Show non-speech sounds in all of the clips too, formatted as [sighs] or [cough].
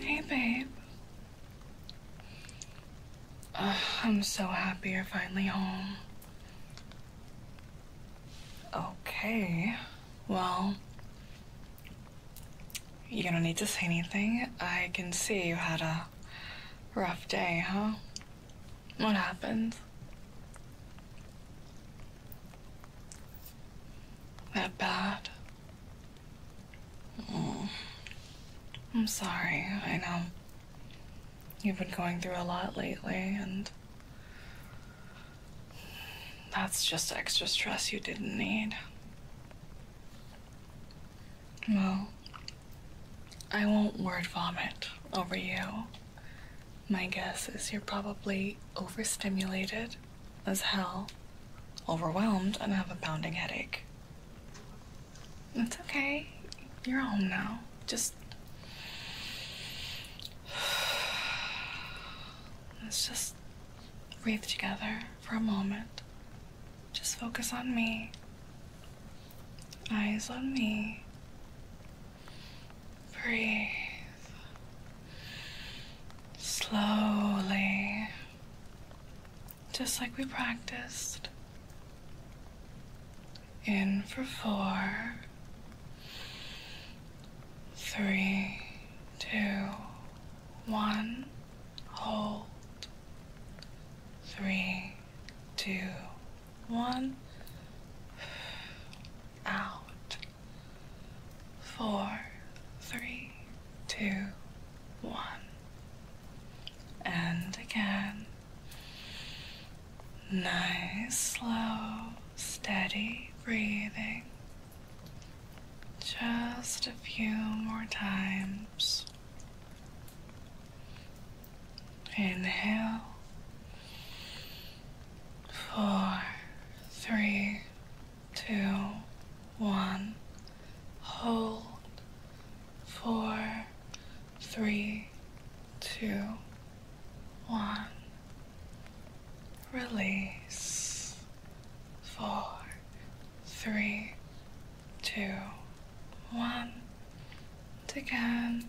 Hey, babe. I'm so happy you're finally home. Okay, well, you don't need to say anything. I can see you had a Rough day, huh? What happened? That bad? Mm. I'm sorry, I know. You've been going through a lot lately, and that's just extra stress you didn't need. Well, I won't word vomit over you. My guess is you're probably overstimulated as hell, overwhelmed, and have a pounding headache. It's okay. You're home now. Just. [sighs] Let's just breathe together for a moment. Just focus on me. Eyes on me. Breathe. Slowly. Just like we practiced. In for four, three, two, one. Hold. Three, two, one. Out. Four, three, two, one. And again. Nice, slow, steady breathing. Just a few more times. Inhale. Four, three, two, one. Hold. Four, three, two, one. Release. Four, three, two, one. And again,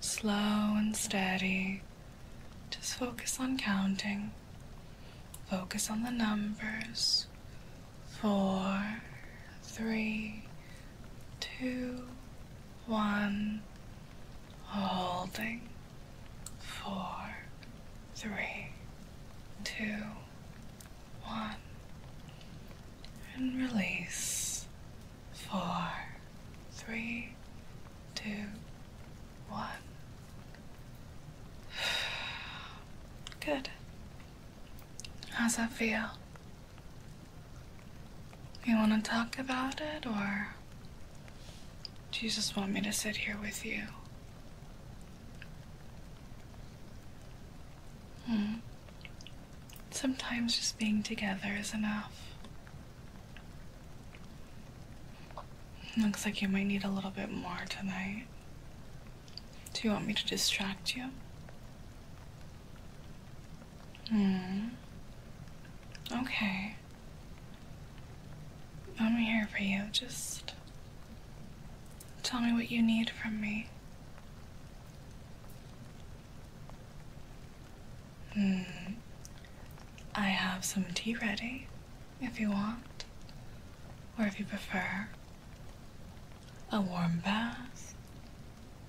slow and steady. Just focus on counting. Focus on the numbers. Four, three, two, one. Holding. Four, three, two, one, and release. Four, three, two, one. [sighs] Good. How's that feel? You want to talk about it, or do you just want me to sit here with you? Hmm. Sometimes just being together is enough. Looks like you might need a little bit more tonight. Do you want me to distract you? Hmm. Okay. I'm here for you. Just tell me what you need from me. Hmm. I have some tea ready, if you want, or if you prefer, a warm bath,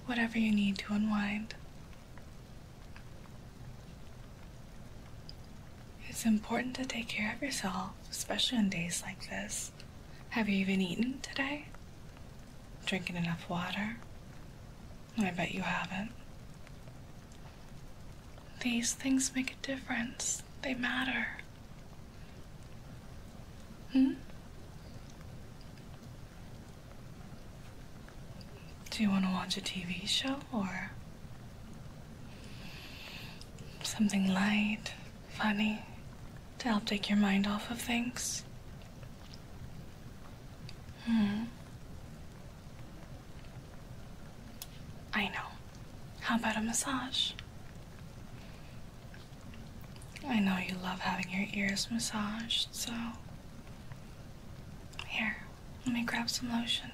whatever you need to unwind. It's important to take care of yourself, especially on days like this. Have you even eaten today? Drinking enough water? I bet you haven't. These things make a difference. They matter. Hmm? Do you want to watch a TV show or something light? funny to help take your mind off of things. Hmm. I know. How about a massage? I know you love having your ears massaged, so. Here, let me grab some lotion.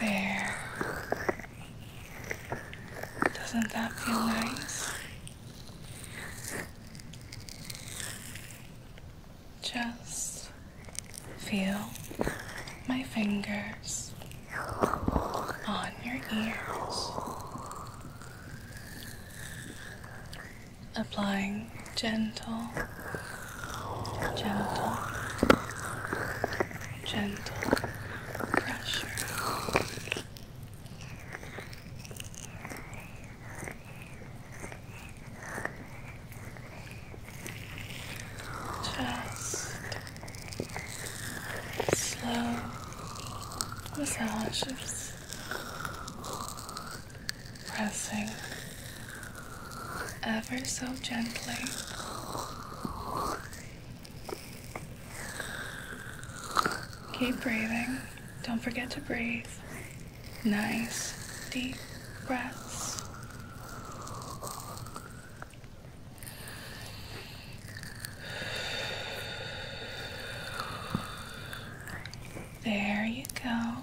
There. Doesn't that feel nice? Just feel my fingers on your ears applying gentle, gentle, gentle pressure. Just slow massages pressing ever so gently. Keep breathing. Don't forget to breathe. Nice, deep breaths. There you go.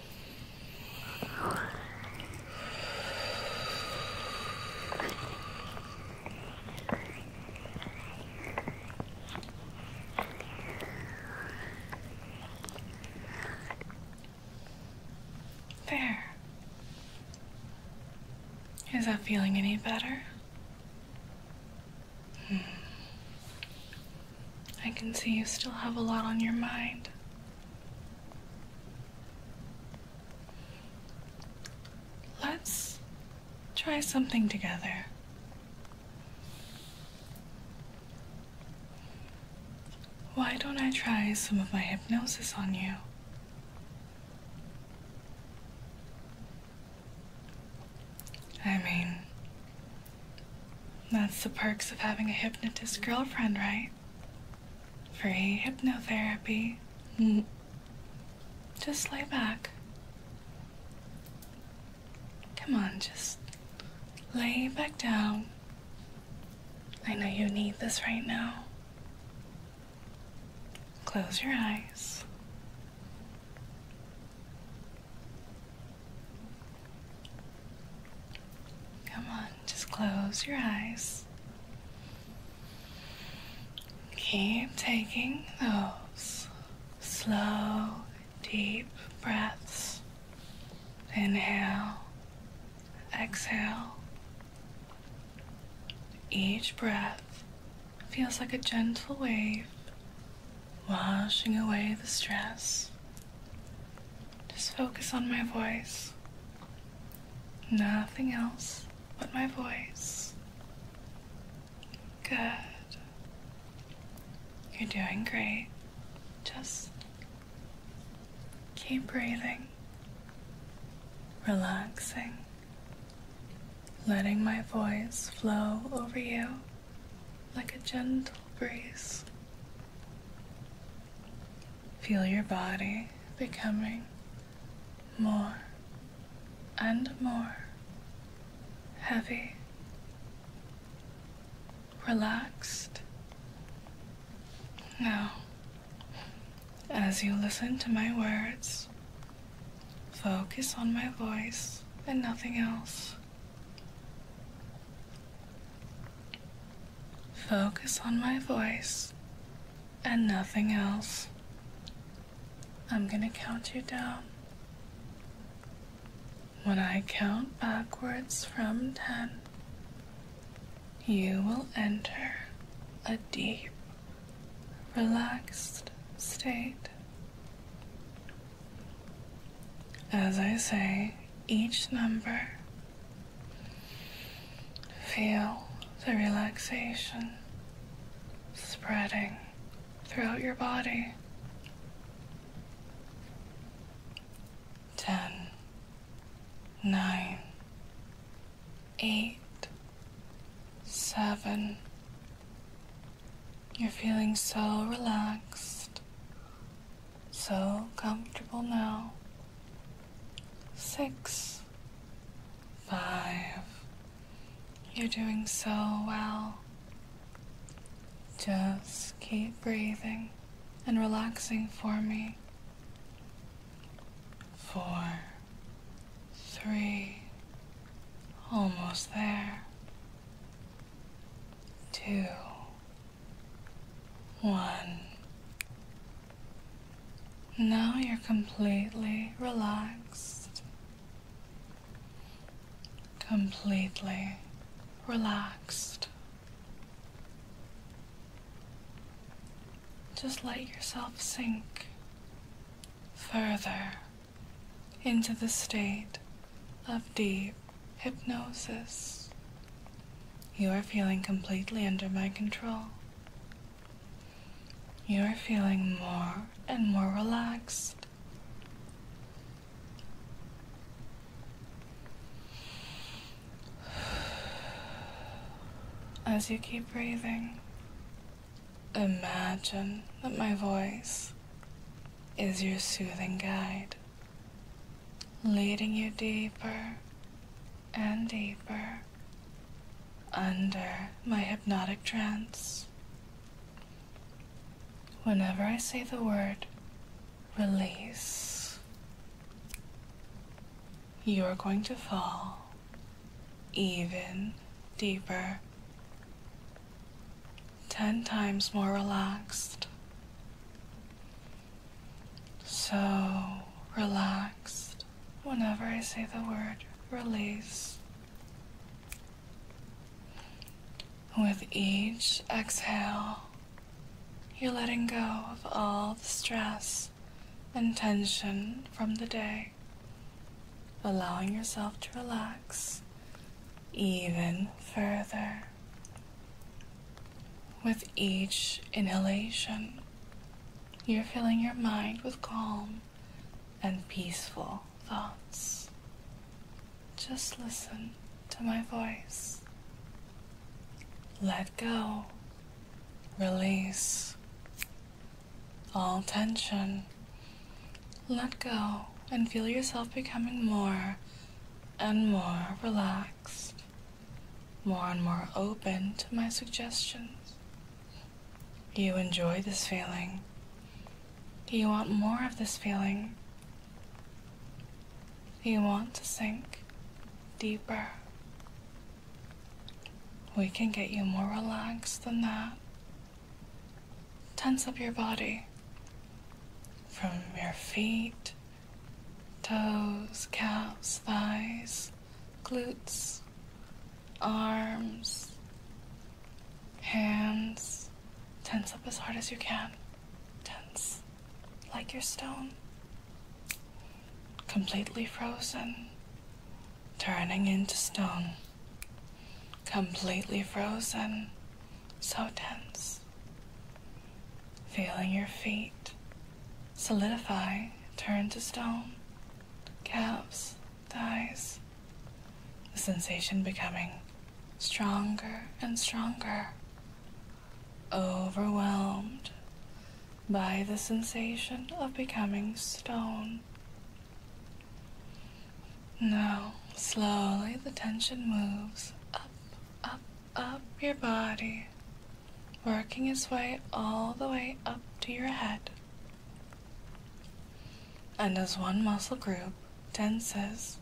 There. Is that feeling any better? Hmm. I can see you still have a lot on your mind. Let's try something together. Why don't I try some of my hypnosis on you? I mean, that's the perks of having a hypnotist girlfriend, right? free hypnotherapy. Mm. Just lay back. Come on, just lay back down. I know you need this right now. Close your eyes. Come on. Just close your eyes. Keep taking those slow, deep breaths. Inhale, exhale. Each breath feels like a gentle wave washing away the stress. Just focus on my voice. Nothing else but my voice. Good. You're doing great. Just keep breathing, relaxing, letting my voice flow over you like a gentle breeze. Feel your body becoming more and more heavy, relaxed. Now, as you listen to my words, focus on my voice and nothing else. Focus on my voice and nothing else. I'm going to count you down. When I count backwards from 10, you will enter a deep, relaxed state. As I say each number, Feel the relaxation spreading throughout your body. 10, 9, 8, 7. You're feeling so relaxed so comfortable now. Six, five. You're doing so well. Just keep breathing and relaxing for me. Four, three, almost there. Two, one. Now you're completely relaxed. Completely relaxed. Just let yourself sink further into the state of deep Hypnosis. You are feeling completely under my control. You are feeling more and more relaxed. As you keep breathing, imagine that my voice is your soothing guide leading you deeper and deeper under my hypnotic trance. Whenever I say the word release, you are going to fall even deeper, 10 times more relaxed so relaxed whenever I say the word release. With each exhale, you're letting go of all the stress and tension from the day, allowing yourself to relax even further. With each inhalation, you're filling your mind with calm and peaceful thoughts. Just listen to my voice. Let go. Release all tension. Let go and feel yourself becoming more and more relaxed more and more open to my suggestions. You enjoy this feeling. Do you want more of this feeling? you want to sink deeper? We can get you more relaxed than that. Tense up your body from your feet toes, calves, thighs, glutes, arms, hands. Tense up as hard as you can. Tense like your stone. Completely frozen, turning into stone. Completely frozen, so tense. Feeling your feet solidify, turn to stone, calves, thighs. The sensation becoming stronger and stronger. Overwhelmed by the sensation of becoming stone. Now, slowly the tension moves up, up, up your body, working its way all the way up to your head. And as one muscle group tenses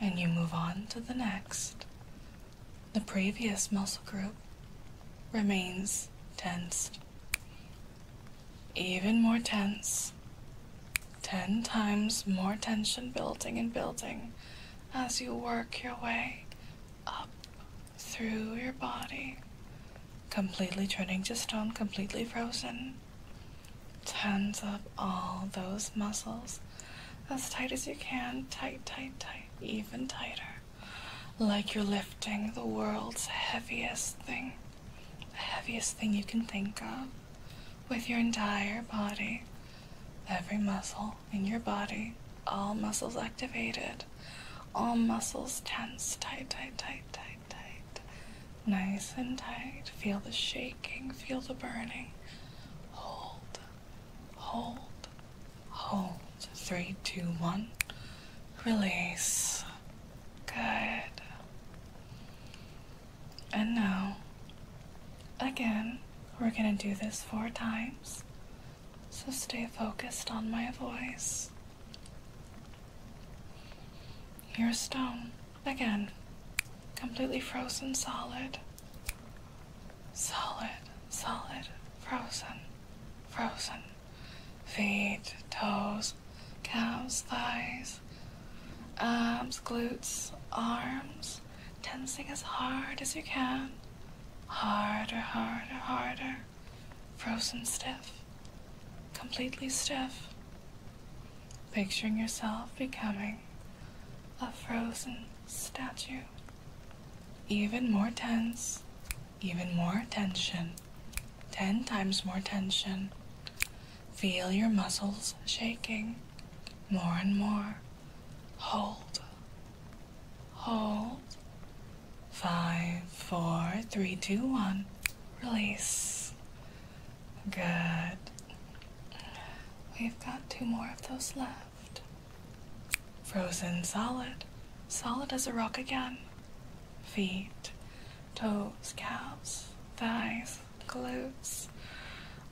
and you move on to the next, the previous muscle group remains tensed. Even more tense. Ten times more tension building and building as you work your way up through your body, completely turning to stone, completely frozen. tens up all those muscles as tight as you can, tight, tight, tight, even tighter. Like you're lifting the world's heaviest thing, the heaviest thing you can think of, with your entire body. Every muscle in your body, all muscles activated, all muscles tense, tight, tight, tight, tight, tight. Nice and tight. Feel the shaking, feel the burning. Hold, hold, hold. Three, two, one. Release. Good. And now, again, we're gonna do this four times. So stay focused on my voice. Here's stone. Again, completely frozen solid. Solid, solid, frozen, frozen. Feet, toes, calves, thighs, abs, glutes, arms tensing as hard as you can. Harder, harder, harder. Frozen stiff. Completely stiff. Picturing yourself becoming a frozen statue. Even more tense, even more tension. Ten times more tension. Feel your muscles shaking more and more. Hold. Hold. Five, four, three, two, one. Release. Good. We've got two more of those left. Frozen solid. Solid as a rock again. Feet, toes, calves, thighs, gloves,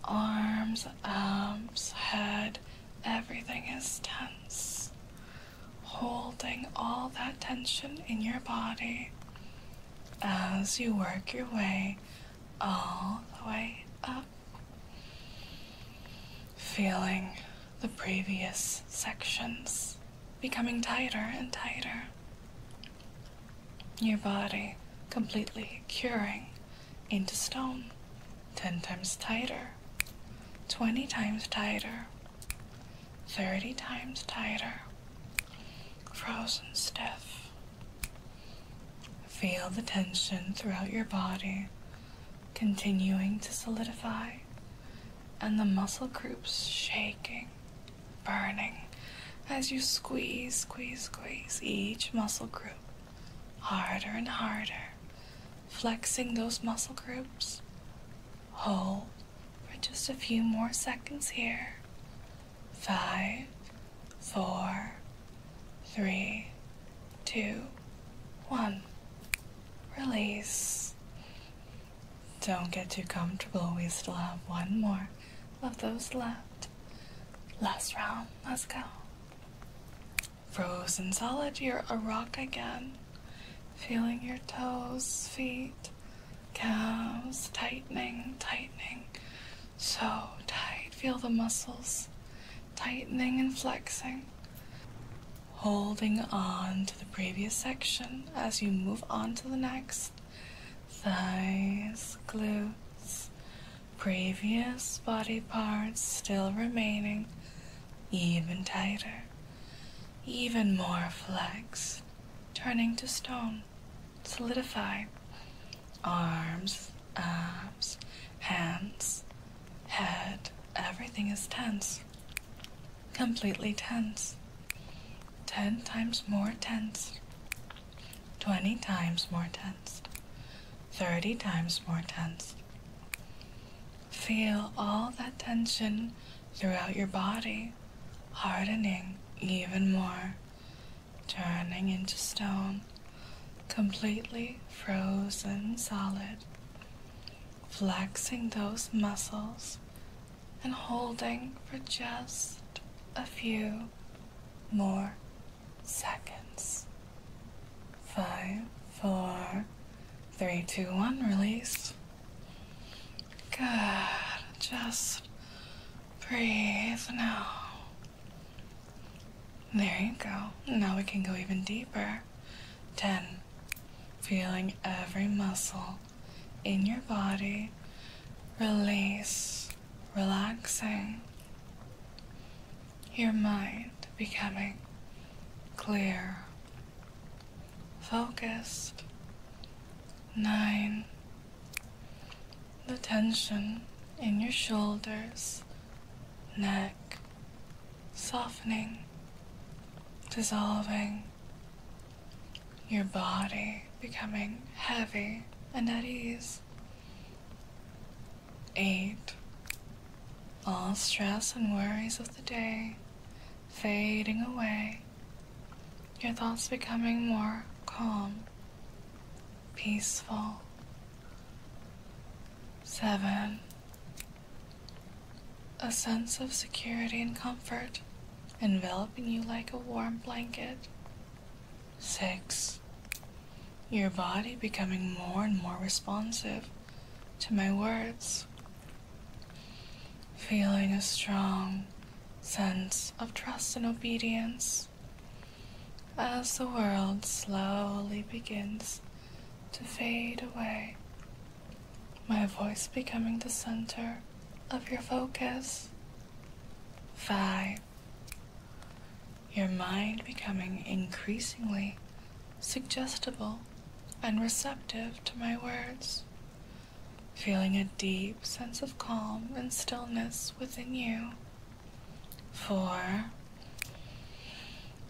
arms, arms, head, everything is tense. Holding all that tension in your body as you work your way all the way up. Feeling the previous sections becoming tighter and tighter your body completely curing into stone 10 times tighter 20 times tighter 30 times tighter frozen stiff feel the tension throughout your body continuing to solidify and the muscle groups shaking burning as you squeeze, squeeze, squeeze each muscle group harder and harder, flexing those muscle groups. Hold for just a few more seconds here. Five, four, three, two, one. Release. Don't get too comfortable, we still have one more of those left. Last round, let's go. Frozen solid, you're a rock again. Feeling your toes, feet, calves, tightening, tightening. So tight, feel the muscles tightening and flexing. Holding on to the previous section as you move on to the next thighs, glutes, previous body parts still remaining even tighter, even more flex, turning to stone, solidify. Arms, abs, hands, head, everything is tense, completely tense, ten times more tense. 20 times more tense, 30 times more tense. Feel all that tension throughout your body, hardening even more, turning into stone, completely frozen solid, flexing those muscles and holding for just a few more seconds. Five, four, three, two, one, release. Good. Just breathe now. There you go. Now we can go even deeper. 10. Feeling every muscle in your body. Release relaxing, your mind becoming clear, focused. Nine, the tension in your shoulders, neck, softening, dissolving, your body becoming heavy and at ease. 8. All stress and worries of the day fading away, your thoughts becoming more calm, peaceful. 7. A sense of security and comfort enveloping you like a warm blanket 6. Your body becoming more and more responsive to my words. Feeling a strong sense of trust and obedience as the world slowly begins to fade away, my voice becoming the center of your focus. 5 your mind becoming increasingly suggestible and receptive to my words, feeling a deep sense of calm and stillness within you. For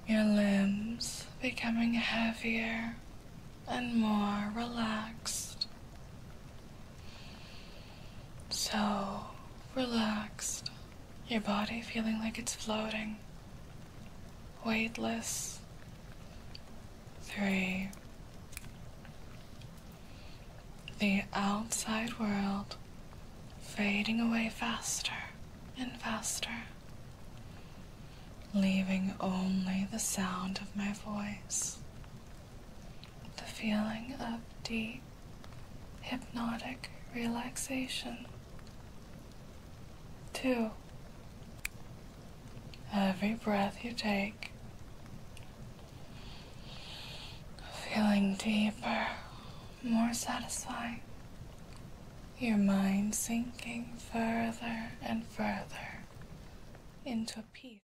your limbs becoming heavier and more relaxed. So relaxed, your body feeling like it's floating, weightless. Three. The outside world fading away faster and faster, leaving only the sound of my voice the feeling of deep hypnotic relaxation. 2. Every breath you take, feeling deeper, more satisfying, your mind sinking further and further into peace.